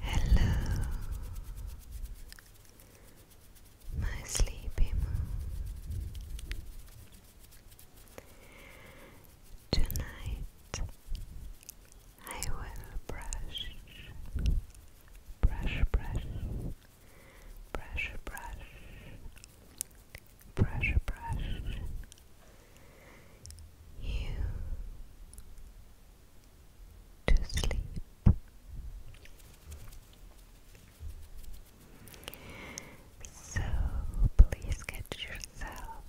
Hello, my sleepy moon. Tonight I will brush, brush, brush, brush, brush, brush, you to sleep. So please get yourself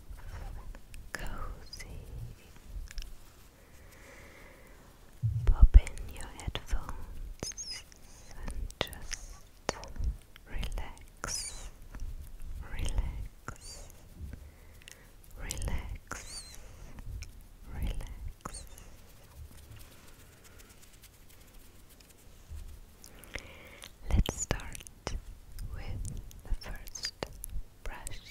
cozy. Pop in your headphones and just relax, relax, relax, relax. Let's start with the first brush.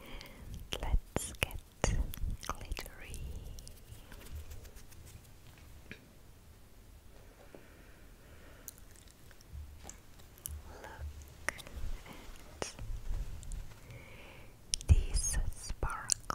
And let's get glittery. Look at these sparkles.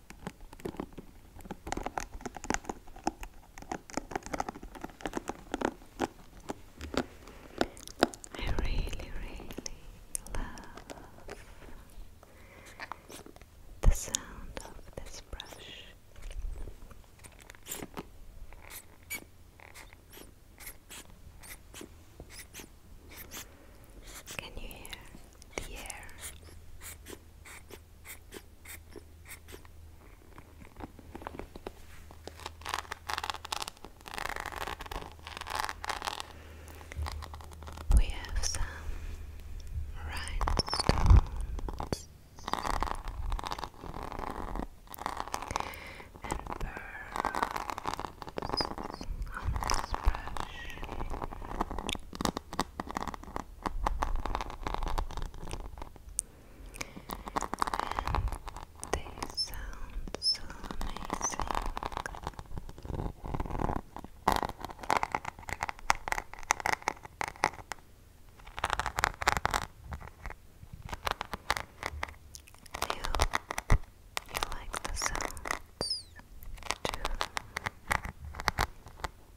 I really, really love the sound of this brush. Can you hear the air we have some rhinestones and pearls on this brush. And they sound so amazing. I you like the sounds too.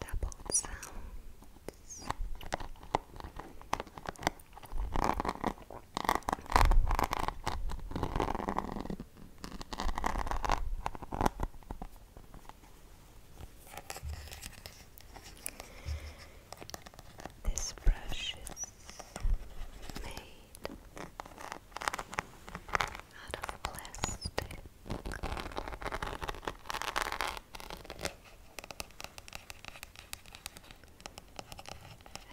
Double sounds. This brush is made out of plastic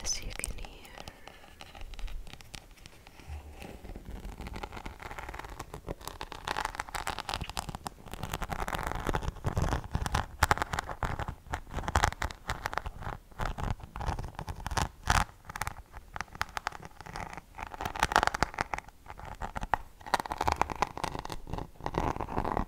as you can hear.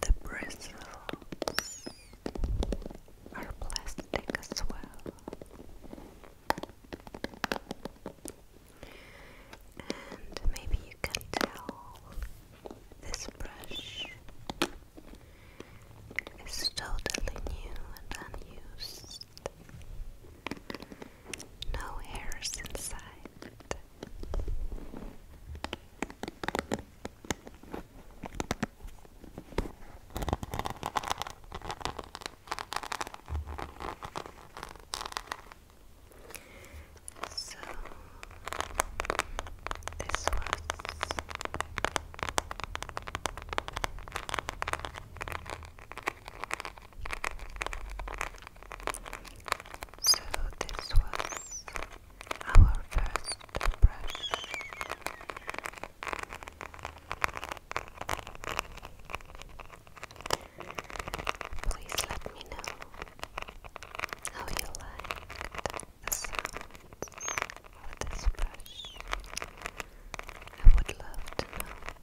The bristles are plastic as well. And maybe you can tell this brush is totally new and unused. No hairs inside. So this was so this was our first brush. Please let me know how you liked the sounds of this brush. I would love to know.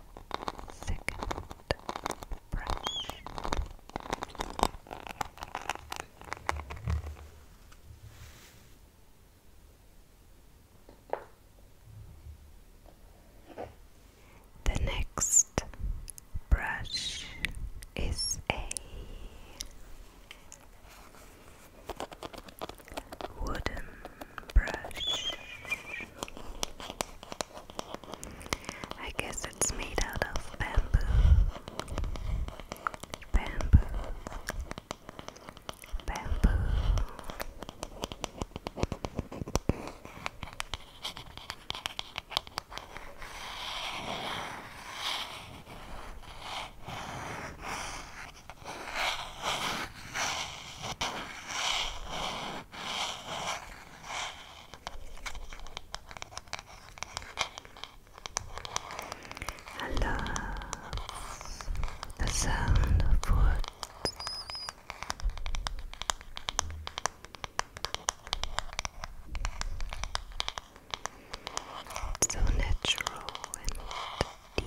second brush. The next brush is a wooden brush. I guess it's made out of bamboo. Bamboo. Bamboo. I love the sound of wood. so natural and deep.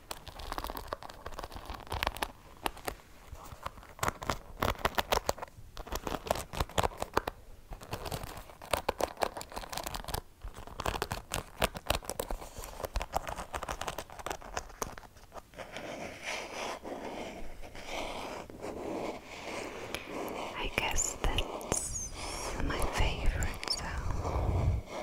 I guess that's my favorite sound.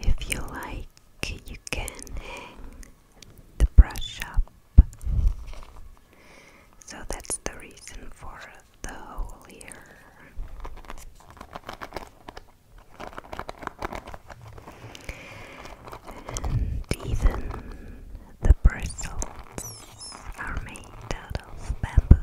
If you like, you can hang the brush up. So that's the reason for the hole here. And even the bristles are made out of bamboo.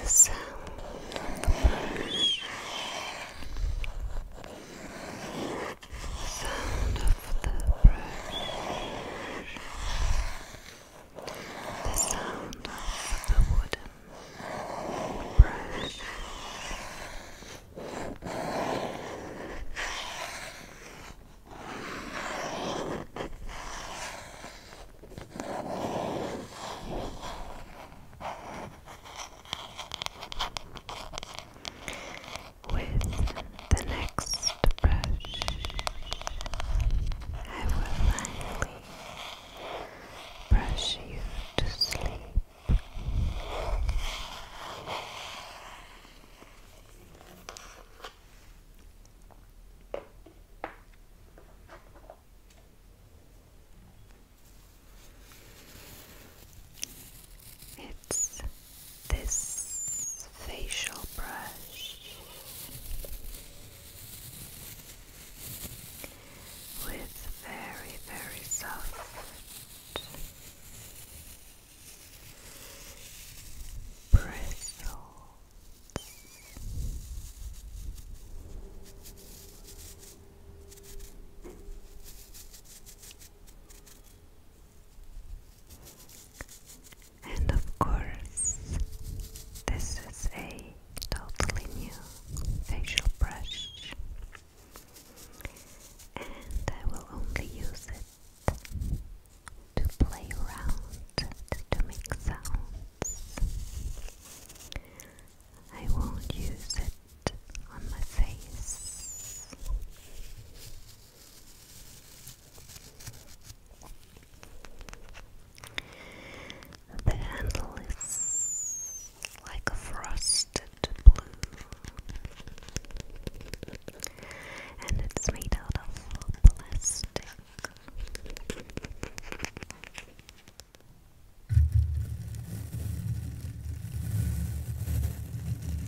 The sound of the brush sound of the brush, the sound of the wooden brush. With the next brush, I will finally brush you to sleep. It's this facial brush with very, very soft bristles. And of course, this is a totally new facial brush, and I will only use it to play around, to make sounds. I won't use it on my face. The handle is like a frosted blue, and it's made out of plastic.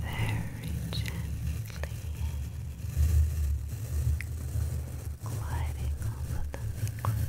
Very gently gliding over the microphone.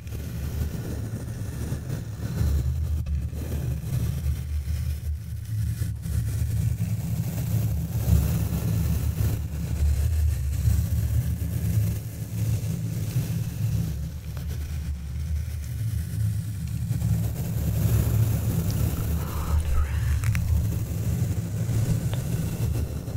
All around.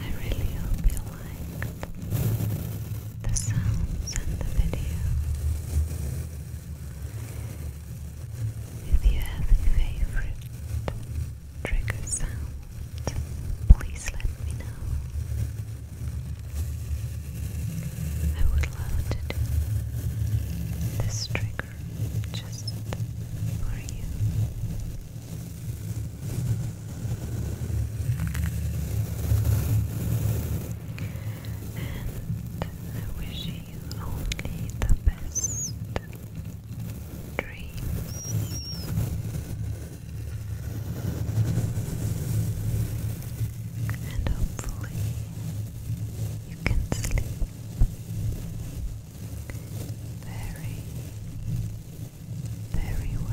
I really hope you liked the sounds and the video. If you have a favorite trigger sound, please let me know. I would love to do this trigger just for you. I wish you only the best dreams. And hopefully you can sleep very, very well.